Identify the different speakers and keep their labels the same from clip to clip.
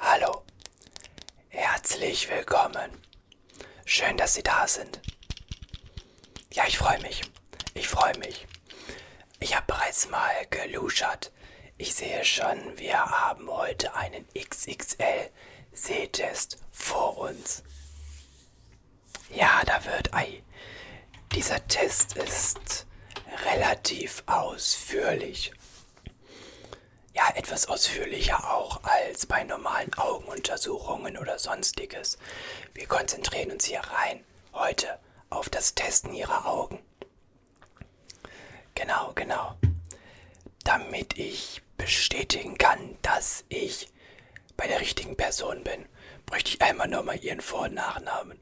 Speaker 1: Hallo, herzlich willkommen. Schön, dass Sie da sind. Ja, ich freue mich. Ich freue mich. Ich habe bereits mal geluschert. Ich sehe schon, wir haben heute einen XXL Sehtest vor uns. Ja, da wird ei. Dieser Test ist relativ ausführlich ja etwas ausführlicher auch als bei normalen Augenuntersuchungen oder sonstiges. Wir konzentrieren uns hier rein heute auf das Testen ihrer Augen. Genau, genau. Damit ich bestätigen kann, dass ich bei der richtigen Person bin, bräuchte ich einmal nochmal ihren Vor- und Nachnamen.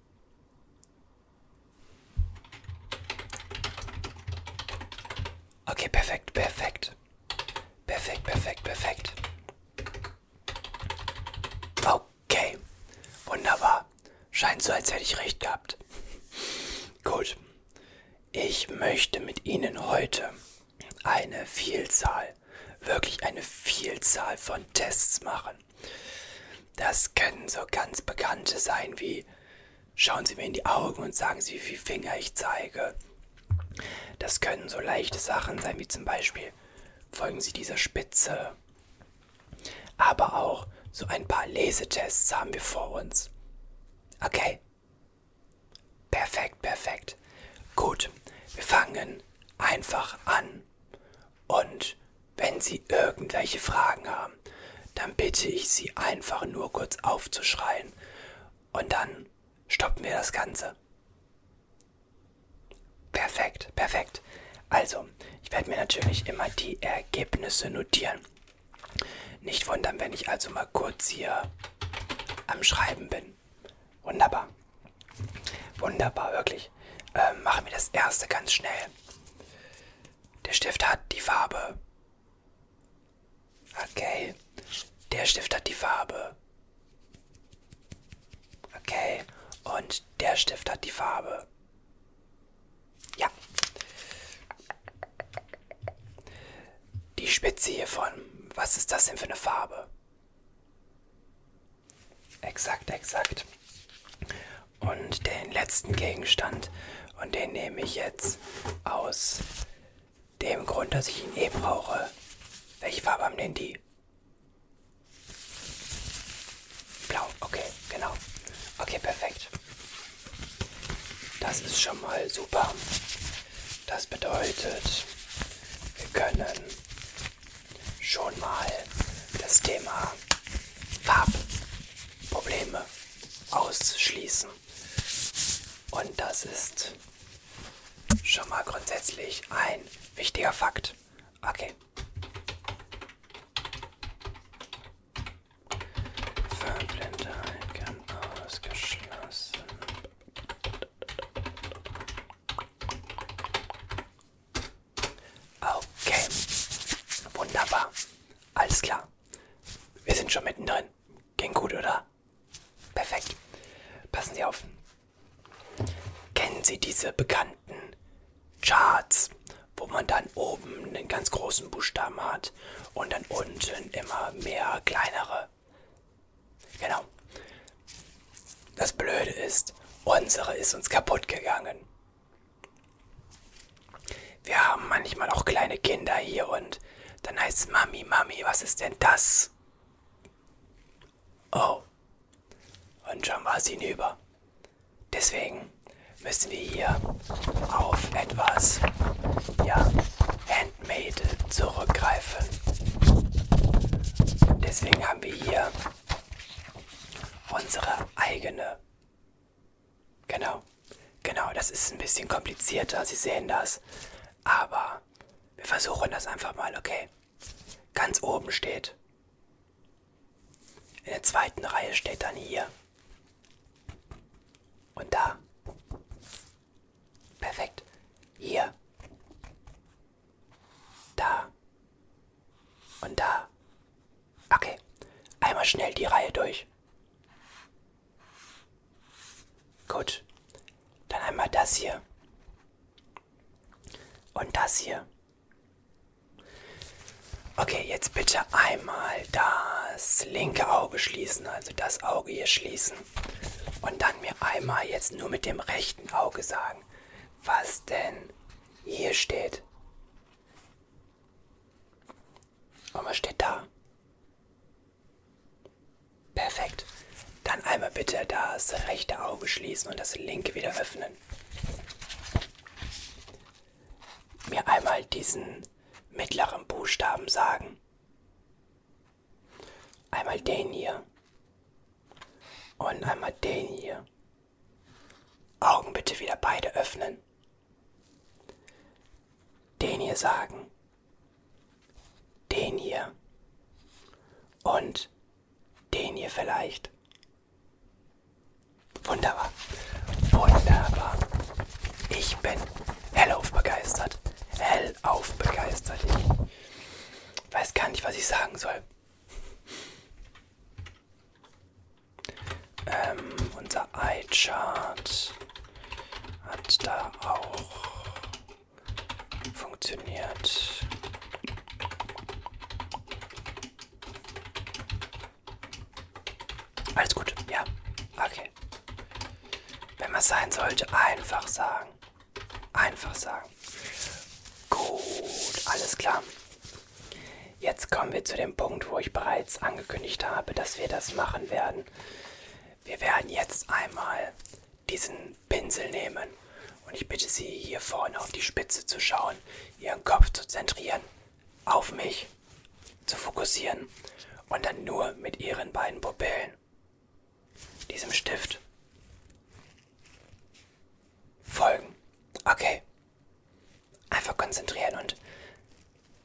Speaker 1: Okay, perfekt, perfekt. Perfekt, perfekt, perfekt. Okay, wunderbar. Scheint so, als hätte ich recht gehabt. Gut. Ich möchte mit Ihnen heute eine Vielzahl, wirklich eine Vielzahl von Tests machen. Das können so ganz bekannte sein wie Schauen Sie mir in die Augen und sagen Sie, wie viele Finger ich zeige. Das können so leichte Sachen sein, wie zum Beispiel, folgen Sie dieser Spitze. Aber auch so ein paar Lesetests haben wir vor uns. Okay. Perfekt, perfekt. Gut, wir fangen einfach an. Und wenn Sie irgendwelche Fragen haben, dann bitte ich Sie einfach nur kurz aufzuschreien und dann stoppen wir das Ganze. Perfekt, perfekt. Also, ich werde mir natürlich immer die Ergebnisse notieren. Nicht wundern, wenn ich also mal kurz hier am Schreiben bin. Wunderbar. Wunderbar, wirklich. Ähm, machen wir das erste ganz schnell. Der Stift hat die Farbe. Okay. Der Stift hat die Farbe. Okay. Und der Stift hat die Farbe. Ja. Die Spitze hiervon. Was ist das denn für eine Farbe? Exakt, exakt und den letzten Gegenstand. Und den nehme ich jetzt aus dem Grund, dass ich ihn eh brauche. Welche Farbe haben denn die? Blau, okay, genau. Okay, perfekt. Das ist schon mal super. Das bedeutet, wir können schon mal das Thema Farbprobleme ausschließen. Und das ist schon mal grundsätzlich ein wichtiger Fakt. Okay. Verblindheit kann ausgeschlossen. Okay. Wunderbar. Alles klar. Wir sind schon mittendrin. Ging gut, oder? Perfekt. Passen Sie auf. Kennen Sie diese bekannten Charts, wo man dann oben einen ganz großen Buchstaben hat und dann unten immer mehr kleinere? Genau. Das Blöde ist, unsere ist uns kaputt gegangen. Wir haben manchmal auch kleine Kinder hier und dann heißt es Mami, Mami, was ist denn das? Oh. Und schon war es hinüber. Deswegen müssen wir hier auf etwas, ja, Handmade zurückgreifen. Deswegen haben wir hier unsere eigene Genau, genau, das ist ein bisschen komplizierter, Sie sehen das. Aber wir versuchen das einfach mal, okay? Ganz oben steht. In der zweiten Reihe steht dann hier. Und da. Perfekt. Hier. Da. Und da. Okay, einmal schnell die Reihe durch. Gut, dann einmal das hier. Und das hier. Okay, jetzt bitte einmal das linke Auge schließen, also das Auge hier schließen. Und dann mir einmal jetzt nur mit dem rechten Auge sagen, was denn hier steht. Und was steht da? Perfekt. Dann einmal bitte das rechte Auge schließen und das linke wieder öffnen. Mir einmal diesen mittleren Buchstaben sagen. Einmal den hier. Und einmal den hier. Augen bitte wieder beide öffnen. Den hier sagen. Den hier. Und den hier vielleicht. Wunderbar. Wunderbar. Ich bin hellauf begeistert. Hellauf begeistert. Ich weiß gar nicht, was ich sagen soll. Ähm, unser iChart hat da auch funktioniert. Alles gut, ja. Okay. Wenn man sein sollte, einfach sagen. Einfach sagen. Gut, alles klar. Jetzt kommen wir zu dem Punkt, wo ich bereits angekündigt habe, dass wir das machen werden. Wir werden jetzt einmal diesen Pinsel nehmen und ich bitte Sie hier vorne auf die Spitze zu schauen, Ihren Kopf zu zentrieren, auf mich zu fokussieren und dann nur mit Ihren beiden Pupillen, diesem Stift, folgen. Okay, Einfach konzentrieren und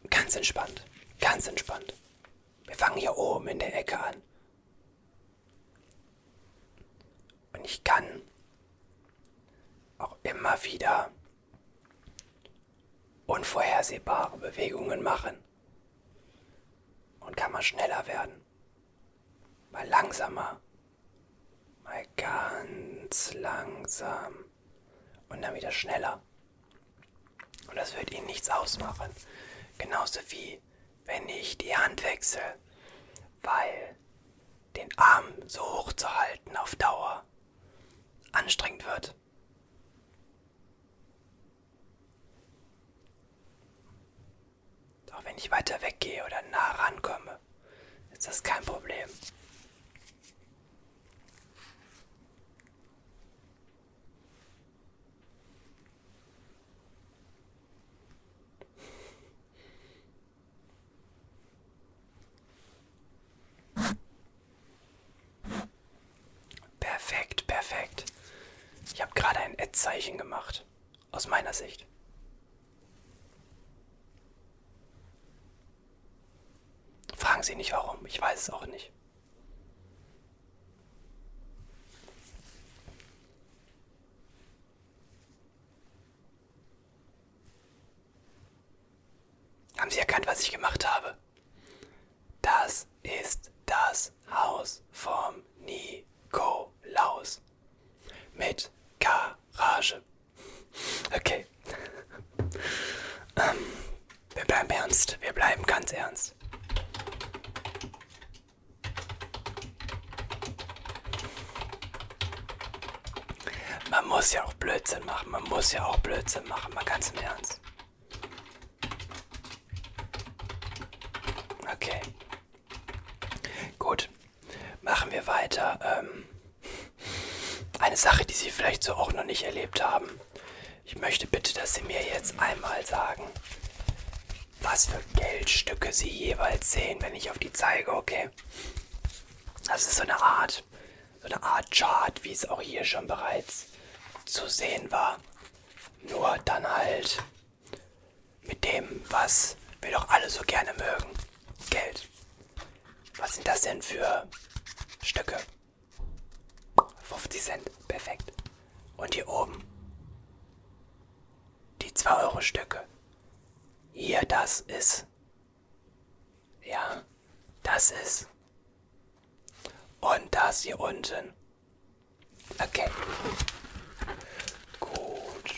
Speaker 1: ganz entspannt, ganz entspannt. Wir fangen hier oben in der Ecke an. Und ich kann auch immer wieder unvorhersehbare Bewegungen machen. Und kann mal schneller werden. Mal langsamer. Mal ganz langsam. Und dann wieder schneller. Und das wird ihnen nichts ausmachen. Genauso wie wenn ich die Hand wechsle, weil den Arm so hoch zu halten auf Dauer anstrengend wird. Auch wenn ich weiter weggehe oder nah rankomme, ist das kein Problem. Perfekt, perfekt. Ich habe gerade ein Ad-Zeichen gemacht. Aus meiner Sicht. Fragen Sie nicht warum, ich weiß es auch nicht. Haben Sie erkannt, was ich gemacht habe? Das ist das Haus vom Nikolaus. Mit Garage. Okay. Okay. Ähm, wir bleiben ernst. Wir bleiben ganz ernst. Man muss ja auch Blödsinn machen. Man muss ja auch Blödsinn machen. Mal ganz im Ernst. Okay. Gut. Machen wir weiter. Ähm, eine Sache, die Sie vielleicht so auch noch nicht erlebt haben. Ich möchte bitte, dass Sie mir jetzt einmal sagen, was für Geldstücke Sie jeweils sehen, wenn ich auf die zeige, okay? Das ist so eine Art, so eine Art Chart, wie es auch hier schon bereits zu sehen war. Nur dann halt mit dem, was wir doch alle so gerne mögen. Geld. Was sind das denn für Stücke? 50 Cent, perfekt. Und hier oben die 2 Euro Stücke. Hier, das ist. Ja, das ist. Und das hier unten. Okay. Gut.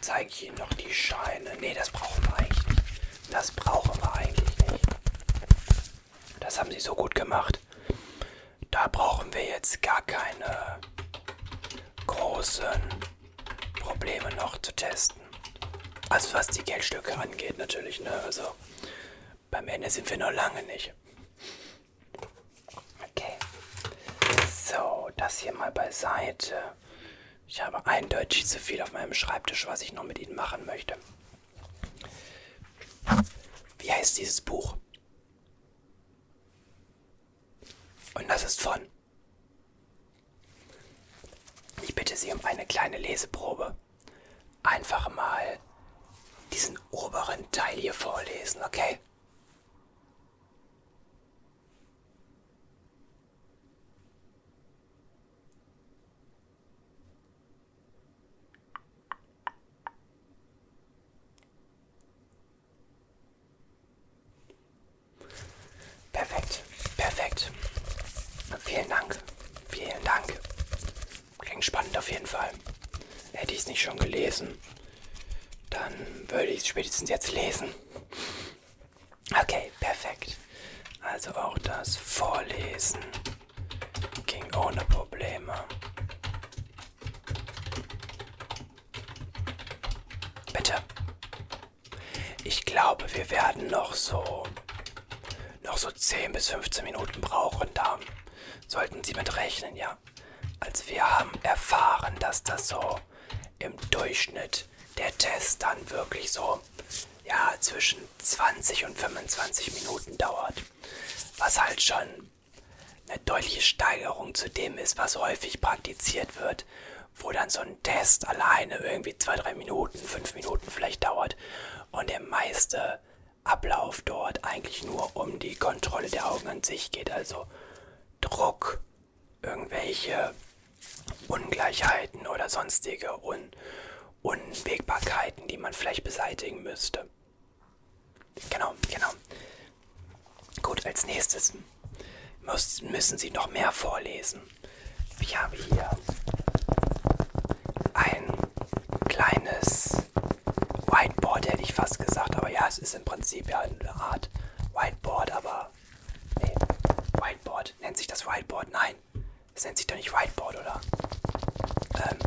Speaker 1: Zeige ich Ihnen noch die Scheine. Nee, das brauchen wir eigentlich nicht. Das brauchen wir eigentlich nicht. Das haben sie so gut gemacht. Da brauchen wir jetzt gar keine großen Probleme noch zu testen. Also was die Geldstücke angeht natürlich, ne? Also beim Ende sind wir noch lange nicht. Okay. So, das hier mal beiseite. Ich habe eindeutig zu viel auf meinem Schreibtisch, was ich noch mit Ihnen machen möchte. Wie heißt dieses Buch? Und das ist von. Ich bitte Sie um eine kleine Leseprobe. Einfach mal diesen oberen Teil hier vorlesen, okay? Perfekt, perfekt. Vielen Dank, vielen Dank. Klingt spannend auf jeden Fall. Hätte ich es nicht schon gelesen, dann würde ich es spätestens jetzt lesen. Okay, perfekt. Also auch das Vorlesen ging ohne Probleme. Bitte. Ich glaube, wir werden noch so noch so 10 bis 15 Minuten brauchen. Da sollten Sie mit rechnen, ja. Als wir haben erfahren, dass das so im Durchschnitt der Test dann wirklich so ja zwischen 20 und 25 Minuten dauert. Was halt schon eine deutliche Steigerung zu dem ist, was häufig praktiziert wird, wo dann so ein Test alleine irgendwie zwei, drei Minuten, fünf Minuten vielleicht dauert und der meiste Ablauf dort eigentlich nur um die Kontrolle der Augen an sich geht, also Druck, irgendwelche Ungleichheiten oder sonstige Un Unwägbarkeiten, die man vielleicht beseitigen müsste. Genau, genau. Gut, als nächstes muss, müssen Sie noch mehr vorlesen. Ich habe hier ein kleines Whiteboard, hätte ich fast gesagt, aber ja, es ist im Prinzip ja eine Art Whiteboard, aber nee, Whiteboard, nennt sich das Whiteboard? Nein, das nennt sich doch nicht Whiteboard, oder? Ähm,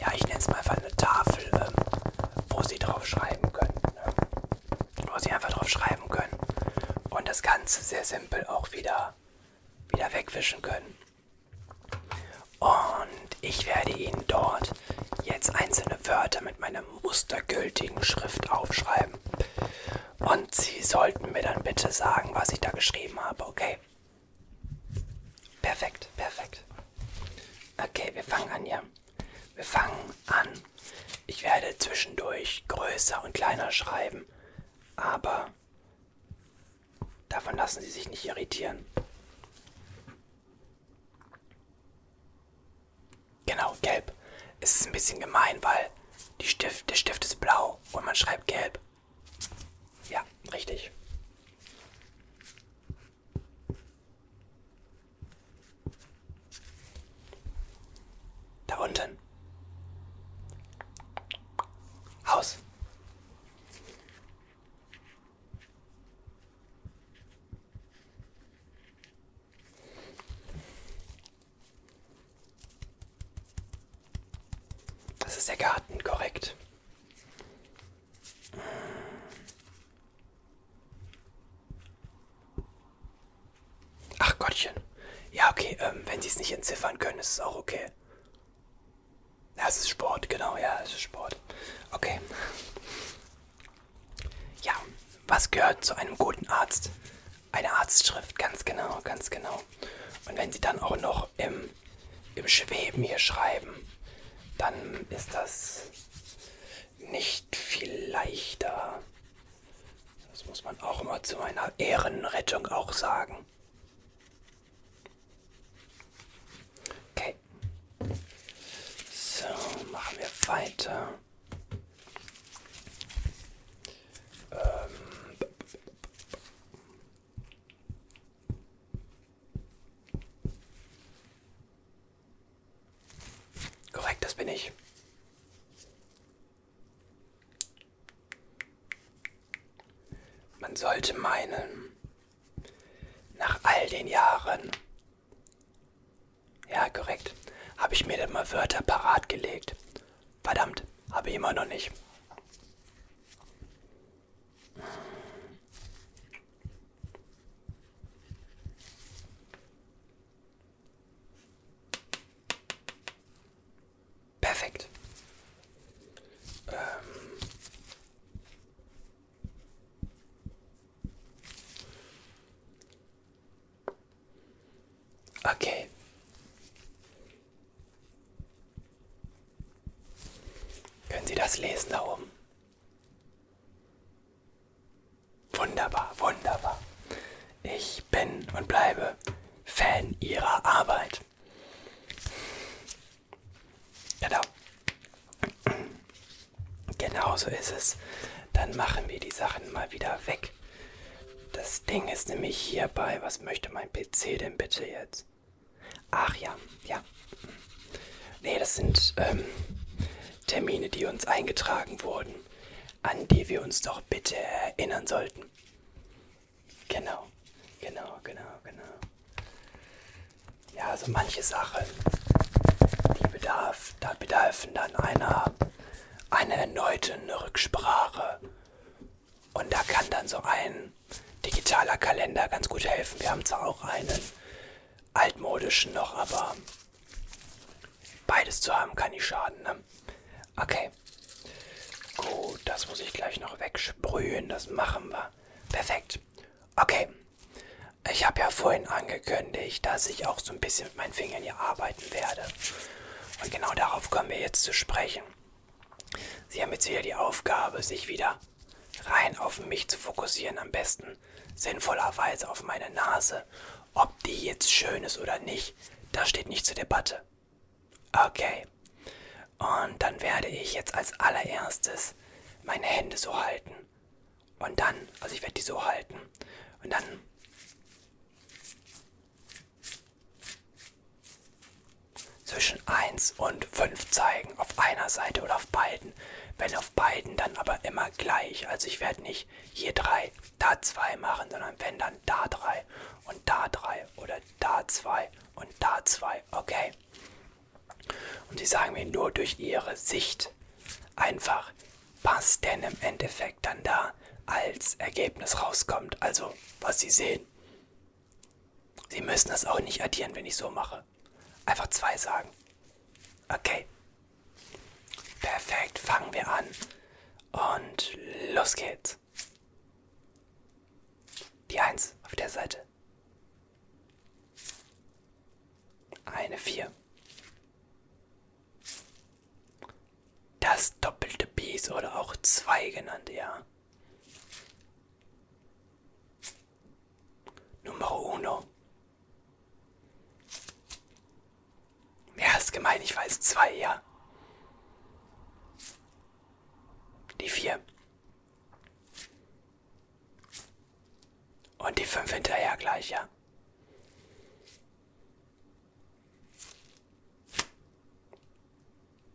Speaker 1: ja, ich nenne es mal einfach eine Tafel, ähm, wo sie drauf schreiben können. Ne? Wo sie einfach drauf schreiben können. Und das Ganze sehr simpel auch wieder, wieder wegwischen können. Und ich werde Ihnen dort jetzt einzelne Wörter mit meiner mustergültigen Schrift aufschreiben. Und Sie sollten mir dann bitte sagen, was ich da geschrieben habe, okay? Perfekt, perfekt. Okay, wir fangen an, ja. Wir fangen an. Ich werde zwischendurch größer und kleiner schreiben, aber davon lassen Sie sich nicht irritieren. Genau, gelb. Es ist ein bisschen gemein, weil Stift, der Stift ist blau und man schreibt gelb. Ja, richtig. Da unten. Haus. Das ist der Garten, korrekt. Ach Gottchen. Ja, okay, ähm, wenn sie es nicht entziffern können, ist es auch okay. Ja, es ist Sport, genau, ja, es ist Sport. Okay. Ja, was gehört zu einem guten Arzt? Eine Arztschrift, ganz genau, ganz genau. Und wenn sie dann auch noch im, im Schweben hier schreiben, dann ist das nicht viel leichter. Das muss man auch immer zu meiner Ehrenrettung auch sagen. Okay. So, machen wir weiter. Ähm, Korrekt, das bin ich. Man sollte meinen, nach all den Jahren, ja korrekt, habe ich mir dann mal Wörter parat gelegt Verdammt, habe ich immer noch nicht. Perfekt. Ähm okay. Können Sie das lesen da oben? Wunderbar, wunderbar. Ich bin und bleibe Fan Ihrer Arbeit. Genau. Genau so ist es. Dann machen wir die Sachen mal wieder weg. Das Ding ist nämlich hierbei. Was möchte mein PC denn bitte jetzt? jetzt? Ach ja, ja. Nee, das sind ähm, Termine, die uns eingetragen wurden, an die wir uns doch bitte erinnern sollten. Genau, genau, genau, genau. Ja, so also manche Sachen, die bedarf, da bedarfen dann einer, einer erneuten Rücksprache und da kann dann so ein digitaler Kalender ganz gut helfen. Wir haben zwar auch einen altmodischen noch, aber beides zu haben kann nicht schaden. Ne? Okay. Gut, das muss ich gleich noch wegsprühen. Das machen wir. Perfekt. Okay. Ich habe ja vorhin angekündigt, dass ich auch so ein bisschen mit meinen Fingern hier arbeiten werde. Und genau darauf kommen wir jetzt zu sprechen. Sie haben jetzt wieder die Aufgabe, sich wieder rein auf mich zu fokussieren, am besten sinnvollerweise auf meine Nase. Ob die jetzt schön ist oder nicht, das steht nicht zur Debatte. Okay. Und dann werde ich jetzt als allererstes meine Hände so halten. Und dann, also ich werde die so halten. Und dann zwischen 1 und 5 zeigen, auf einer Seite oder auf beiden. Wenn auf beiden, dann aber immer gleich. Also ich werde nicht hier 3, da 2 machen, sondern wenn dann da 3 und da 3 oder da 2 und da 2. Okay? Und sie sagen mir nur durch ihre Sicht einfach, was denn im Endeffekt dann da als Ergebnis rauskommt. Also was sie sehen. Sie müssen das auch nicht addieren, wenn ich so mache. Einfach zwei sagen. Okay. Perfekt, fangen wir an. Und los geht's. Die 1 auf der Seite. Eine 4. Das doppelte Bies oder auch 2 genannt, ja. Numero uno. Ja, ist gemein, ich weiß. Zwei, ja. Die vier. Und die fünf hinterher gleich, ja.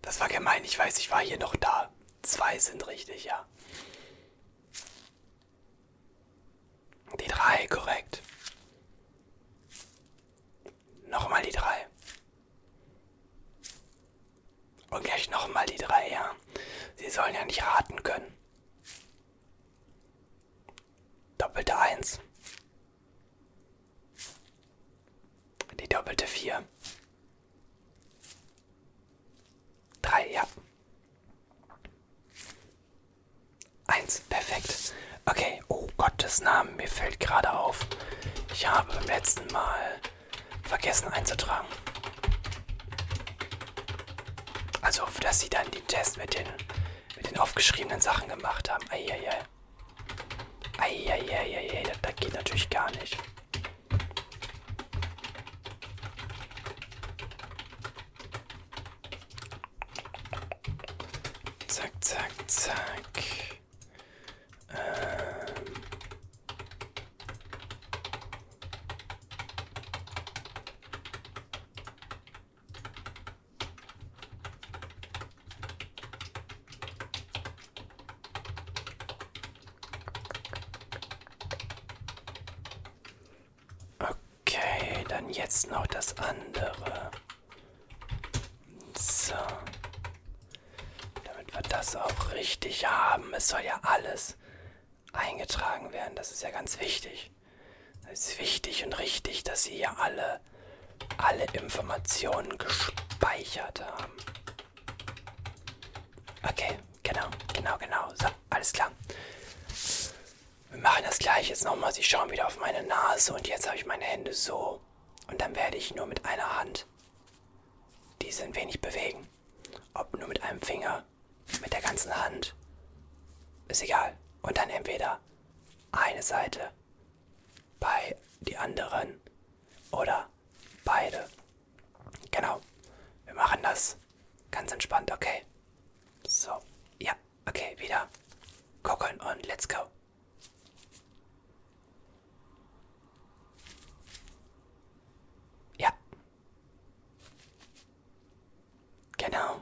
Speaker 1: Das war gemein, ich weiß, ich war hier noch da. Zwei sind richtig, ja. Die drei, korrekt. Nochmal die drei. Und gleich nochmal die drei, ja. Sie sollen ja nicht raten können. Doppelte eins. Die doppelte vier. Drei, ja. Eins, perfekt. Okay, oh Gottes Namen, mir fällt gerade auf. Ich habe beim letzten Mal vergessen einzutragen. Also, dass sie dann den Test mit den, mit den aufgeschriebenen Sachen gemacht haben. Eieiei. Ei, ei. Eieieiei, das, das geht natürlich gar nicht. Zack, zack, zack. Ähm. Okay, dann jetzt noch das andere. So. Damit wir das auch richtig haben. Es soll ja alles eingetragen werden. Das ist ja ganz wichtig. Es ist wichtig und richtig, dass Sie hier alle, alle Informationen gespeichert haben. Okay, genau, genau, genau. So, alles klar. Wir machen das gleich jetzt nochmal. Sie schauen wieder auf meine Nase und jetzt habe ich meine Hände so. Und dann werde ich nur mit einer Hand diese ein wenig bewegen. Ob nur mit einem Finger, mit der ganzen Hand. Ist egal. Und dann entweder eine Seite bei die anderen oder beide. Genau. Wir machen das ganz entspannt, okay? So, ja, okay, wieder gucken und let's go. Ja. Genau.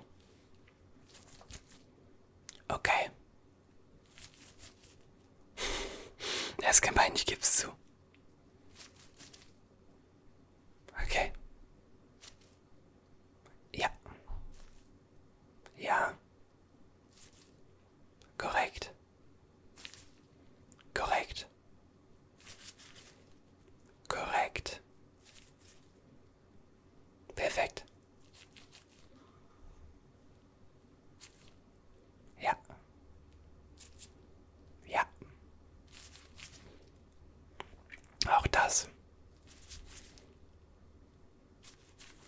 Speaker 1: Okay. Er ist gemein, ich gebe es zu. Okay. Ja. Ja. Korrekt. Korrekt. Korrekt. Perfekt. Ja. Ja. Auch das.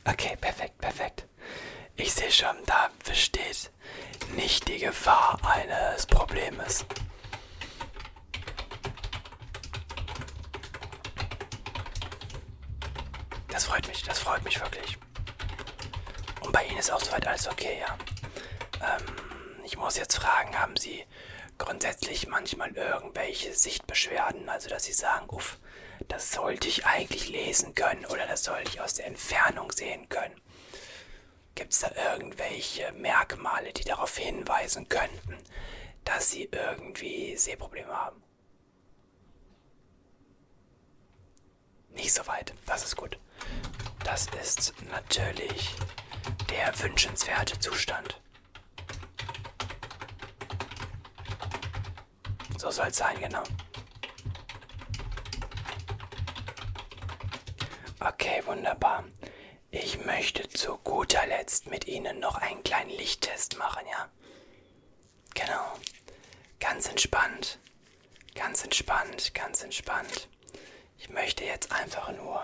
Speaker 1: Okay, perfekt, perfekt. Ich sehe schon, da besteht nicht die Gefahr eines Problems. Das freut mich, das freut mich wirklich. Und bei Ihnen ist auch soweit alles okay, ja. Ähm, ich muss jetzt fragen, haben Sie grundsätzlich manchmal irgendwelche Sichtbeschwerden? Also, dass Sie sagen, uff, das sollte ich eigentlich lesen können oder das sollte ich aus der Entfernung sehen können. Gibt es da irgendwelche Merkmale, die darauf hinweisen könnten, dass Sie irgendwie Sehprobleme haben? Nicht so weit. Das ist gut. Das ist natürlich der wünschenswerte Zustand. So soll es sein, genau. Okay, wunderbar. Ich möchte zu guter Letzt mit Ihnen noch einen kleinen Lichttest machen, ja? Genau. Ganz entspannt. Ganz entspannt, ganz entspannt. Ich möchte jetzt einfach nur.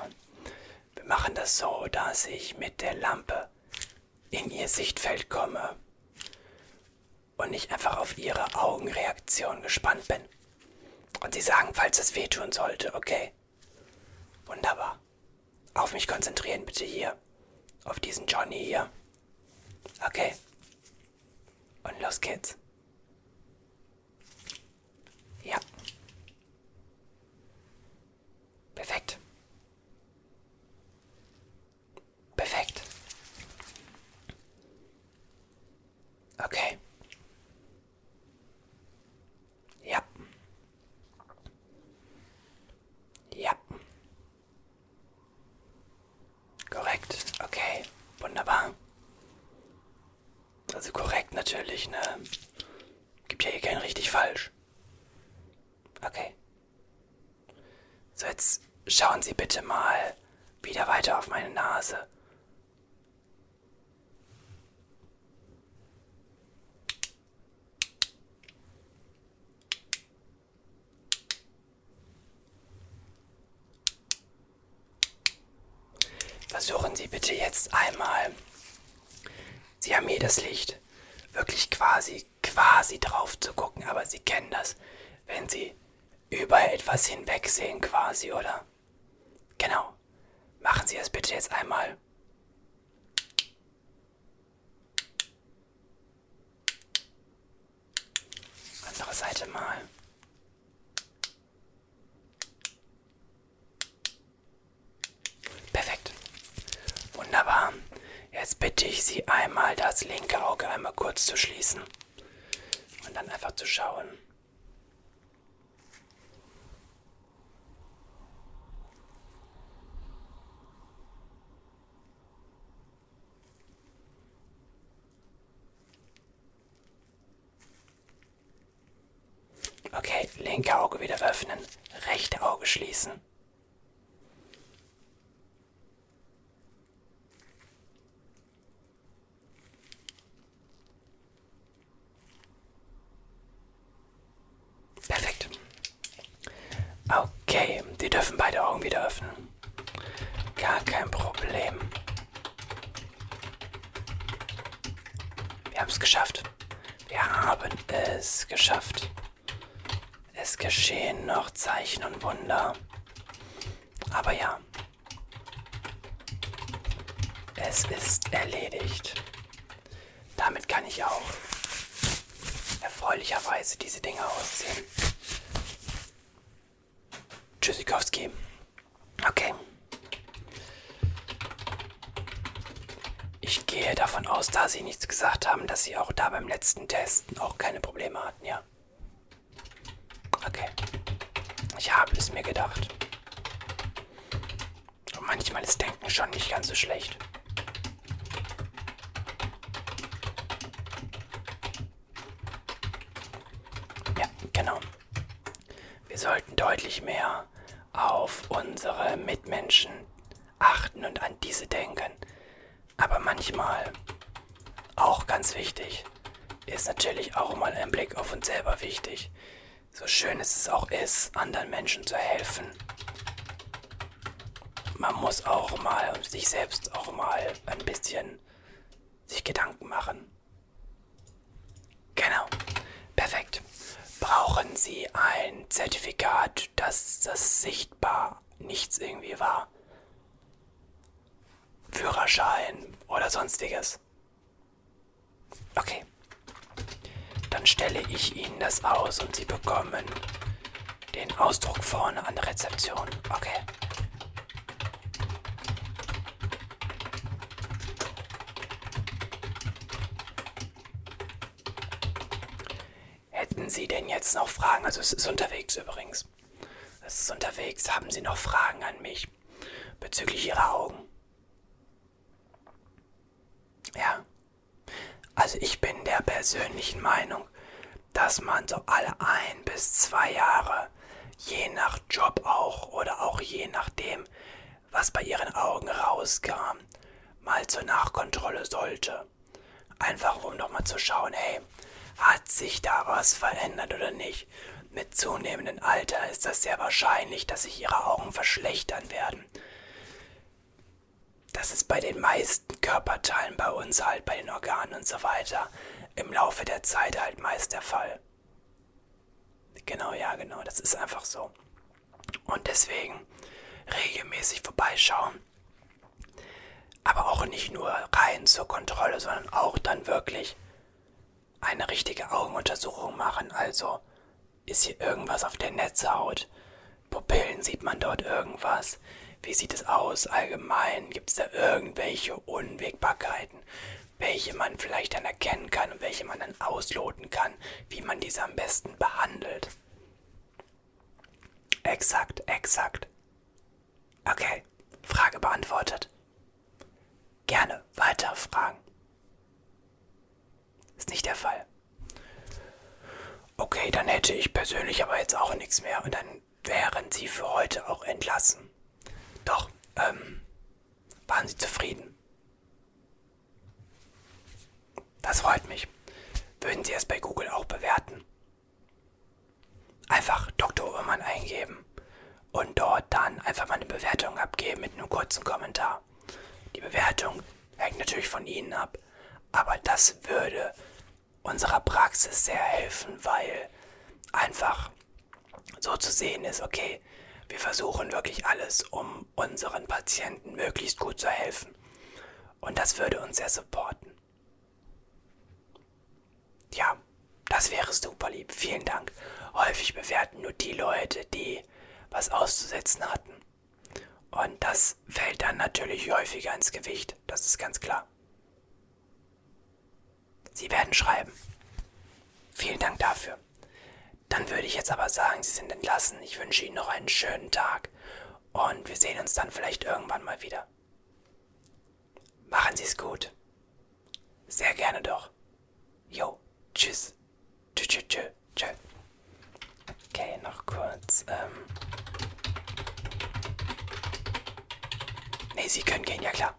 Speaker 1: Wir machen das so, dass ich mit der Lampe in ihr Sichtfeld komme und ich einfach auf ihre Augenreaktion gespannt bin. Und sie sagen, falls es wehtun sollte, okay. Wunderbar. Auf mich konzentrieren bitte hier. Auf diesen Johnny hier. Okay. Und los geht's. Ja. Perfekt. Perfekt. Okay. Ja. Ja. Korrekt, okay, wunderbar. Also korrekt natürlich, ne? Gibt ja hier kein richtig falsch. Okay. So, jetzt schauen Sie bitte mal wieder weiter auf meine Nase. Versuchen Sie bitte jetzt einmal. Sie haben hier das Licht wirklich quasi, quasi drauf zu gucken, aber Sie kennen das, wenn Sie über etwas hinwegsehen quasi, oder? Genau. Machen Sie es bitte jetzt einmal. Andere Seite mal. Perfekt. Wunderbar. Jetzt bitte ich Sie einmal, das linke Auge einmal kurz zu schließen und dann einfach zu schauen. Okay, linke Auge wieder öffnen, rechte Auge schließen. Perfekt. Okay, wir dürfen beide Augen wieder öffnen. Gar kein Problem. Wir haben es geschafft. Wir haben es geschafft. Es geschehen noch Zeichen und Wunder. Aber ja. Es ist erledigt. Damit kann ich auch erfreulicherweise diese Dinge ausziehen. Tschüssikowski. Okay. Ich gehe davon aus, da Sie nichts gesagt haben, dass Sie auch da beim letzten Testen auch keine Probleme hatten, ja? Okay. Ich habe es mir gedacht. Und manchmal ist Denken schon nicht ganz so schlecht. Ja, genau. Wir sollten deutlich mehr auf unsere Mitmenschen achten und an diese denken. Aber manchmal, auch ganz wichtig, ist natürlich auch mal ein Blick auf uns selber wichtig. So schön es es auch ist, anderen Menschen zu helfen. Man muss auch mal sich selbst auch mal ein bisschen sich Gedanken machen. Genau. Perfekt. Brauchen Sie ein Zertifikat, dass das sichtbar nichts irgendwie war? Führerschein oder sonstiges? Okay. Dann stelle ich Ihnen das aus und Sie bekommen den Ausdruck vorne an der Rezeption. Okay. Hätten Sie denn jetzt noch Fragen? Also es ist unterwegs übrigens. Es ist unterwegs. Haben Sie noch Fragen an mich bezüglich Ihrer Augen? Ja. Also ich bin der persönlichen Meinung, dass man so alle ein bis zwei Jahre, je nach Job auch oder auch je nachdem, was bei ihren Augen rauskam, mal zur Nachkontrolle sollte. Einfach um nochmal zu schauen, hey, hat sich da was verändert oder nicht? Mit zunehmendem Alter ist das sehr wahrscheinlich, dass sich ihre Augen verschlechtern werden. Das ist bei den meisten Körperteilen bei uns halt, bei den Organen und so weiter, im Laufe der Zeit halt meist der Fall. Genau, ja, genau, das ist einfach so. Und deswegen regelmäßig vorbeischauen. Aber auch nicht nur rein zur Kontrolle, sondern auch dann wirklich eine richtige Augenuntersuchung machen. Also ist hier irgendwas auf der Netzhaut? Pupillen, sieht man dort irgendwas? Wie sieht es aus allgemein? Gibt es da irgendwelche Unwägbarkeiten? welche man vielleicht dann erkennen kann und welche man dann ausloten kann, wie man diese am besten behandelt. Exakt, exakt. Okay, Frage beantwortet. Gerne weitere Fragen. Ist nicht der Fall. Okay, dann hätte ich persönlich aber jetzt auch nichts mehr und dann wären Sie für heute auch entlassen. Doch, ähm, waren Sie zufrieden? Das freut mich. Würden Sie es bei Google auch bewerten? Einfach Dr. Obermann eingeben und dort dann einfach mal eine Bewertung abgeben mit einem kurzen Kommentar. Die Bewertung hängt natürlich von Ihnen ab, aber das würde unserer Praxis sehr helfen, weil einfach so zu sehen ist, okay, wir versuchen wirklich alles, um unseren Patienten möglichst gut zu helfen. Und das würde uns sehr supporten. Ja, das wäre super lieb. Vielen Dank. Häufig bewerten nur die Leute, die was auszusetzen hatten. Und das fällt dann natürlich häufiger ins Gewicht. Das ist ganz klar. Sie werden schreiben. Vielen Dank dafür. Dann würde ich jetzt aber sagen, Sie sind entlassen. Ich wünsche Ihnen noch einen schönen Tag und wir sehen uns dann vielleicht irgendwann mal wieder. Machen Sie es gut. Sehr gerne doch. Jo, tschüss. Tschö, tschö, tschö, tschö. Okay, noch kurz. Ähm. Ne, Sie können gehen, ja klar.